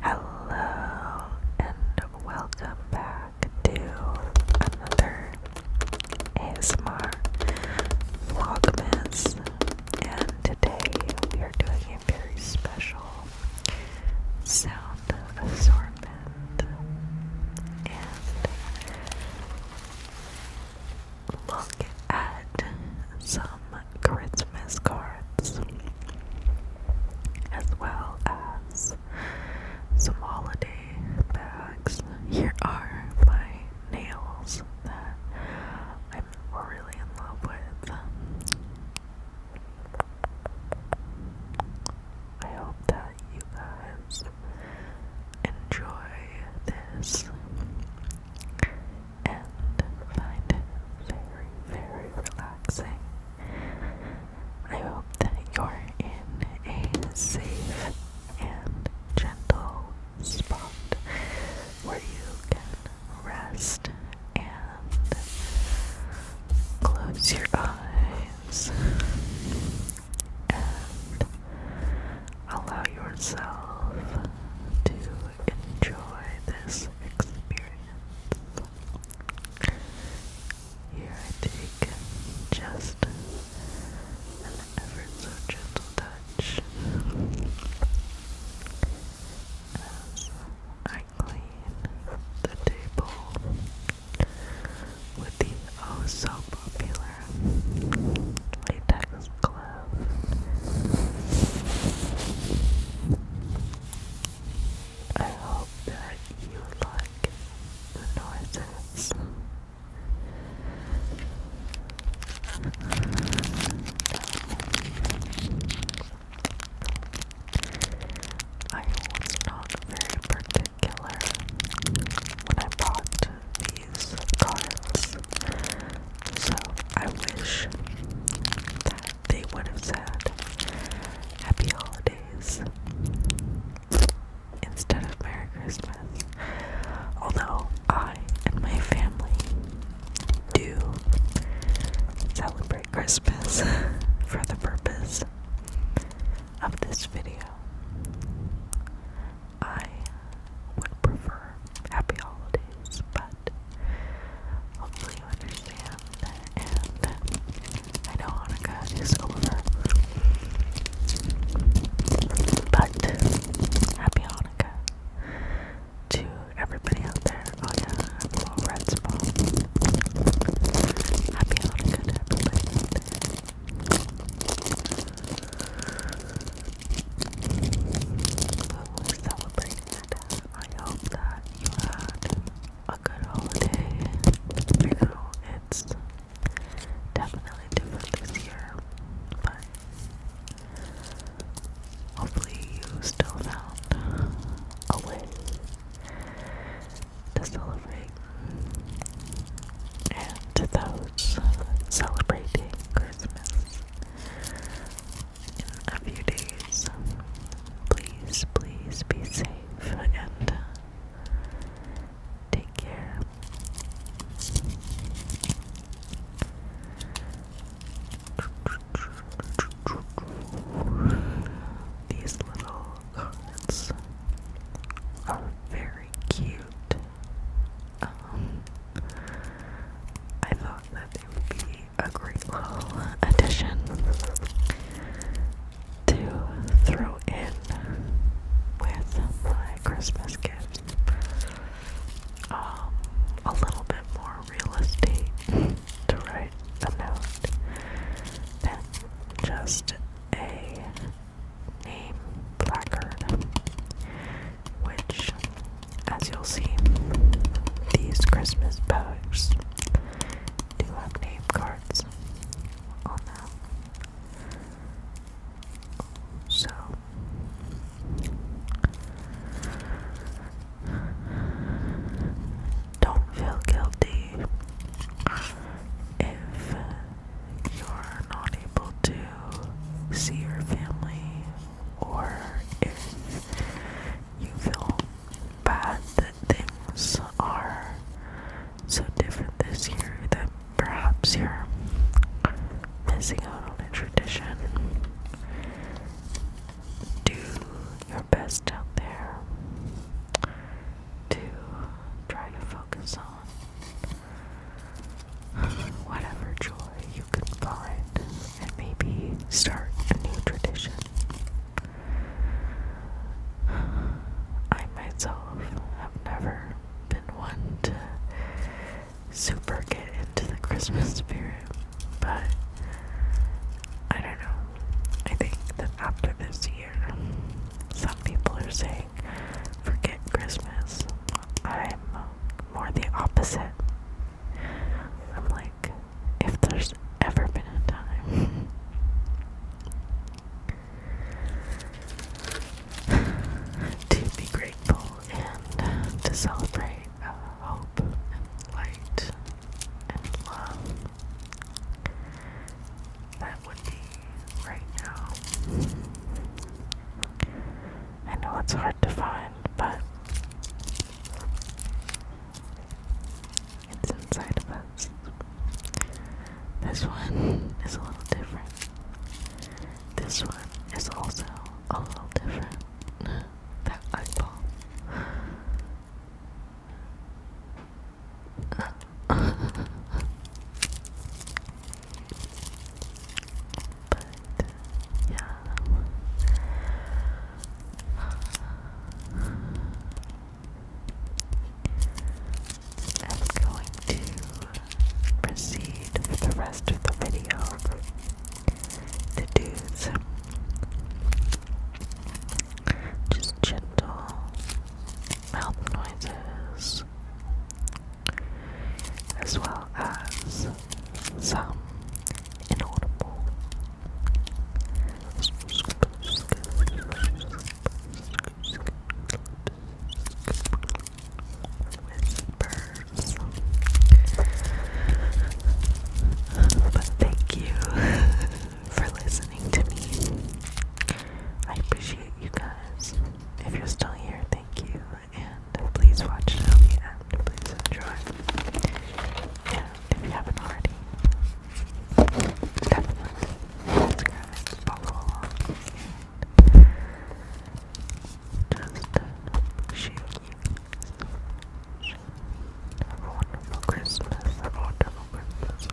Hello and welcome back to another ASMR Vlogmas and today we are doing a very special sound assortment look at some Christmas cards as well as some holiday bags. Here are my nails that I'm really in love with. I hope that you guys enjoy this and find it very, very relaxing. I hope that you're in a safe and gentle spot where you can rest and close your eyes and Allow yourself to enjoy this experience. Here I take just an ever so gentle touch as I clean the table with the oh so popular latex glove. I hope that you like the noises. I was not very particular when I bought these cards. So I wish that they would have said Happy Holidays instead of Merry Christmas. Although I and my family do celebrate Christmas for the purpose of this video. I would prefer happy holidays, but hopefully you understand. And I know Hanukkah is over, but happy Hanukkah to everybody out there. Oh yeah, I'm a little red spot. Happy Hanukkah we're celebrating I hope that you had a good holiday. You know, it's definitely different this year, but hopefully, you still found a way to celebrate and those celebrating Christmas in a few days, please, please be safe and uh, take care. These little cards are very cute um, I thought that it would be a great little addition to throw in with my Christmas gift. Um, a little bit more realistic to write a note than just a name placard, which, as you'll see, these Christmas bags do have name cards on them. So, don't feel guilty if you're not able to see your family, or if you feel bad that things are so different this year that perhaps you're missing out on a tradition, do your best out there to try to focus on whatever joy you can find, and maybe start a new tradition. I myself have never been one to super get into the Christmas spirit, but I don't know. I think that after this year, some people are saying, forget Christmas. I'm more the opposite. I'm like, if there's ever been a time. to be grateful and to celebrate uh, hope and light and love that would be right now. I know it's hard to find, but it's inside of us. This one is a little different. This one is also a little different. that eyeball but yeah. I'm going to proceed for the rest of the video to do just gentle mouth noises, as well as some inaudible. Whispers. But thank you for listening to me. I appreciate you guys. If you're still here, thank you. And please watch it the end. Please enjoy. And if you haven't already, definitely subscribe, follow and just share, have a wonderful Christmas. Have a wonderful Christmas.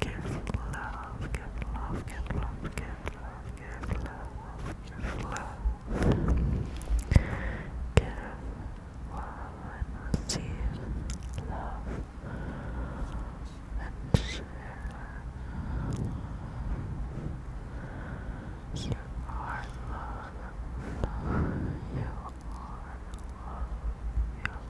Give love, give love, give love, give love, give love, give love. Give love and receive love and share You are love. You are love. You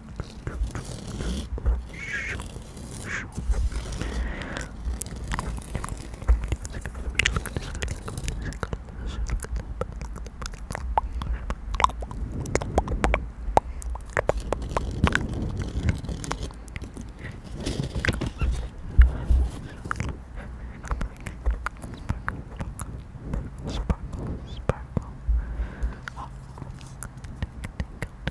Sparkle, sparkle. Oh. Tinkle, tinkle,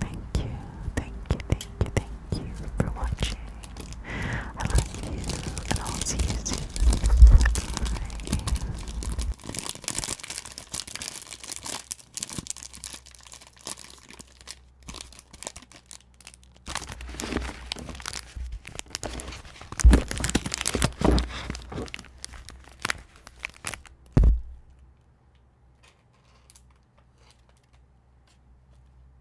Thank you, thank you, thank you, thank you for watching. I love you, and I'll see you soon. Bye.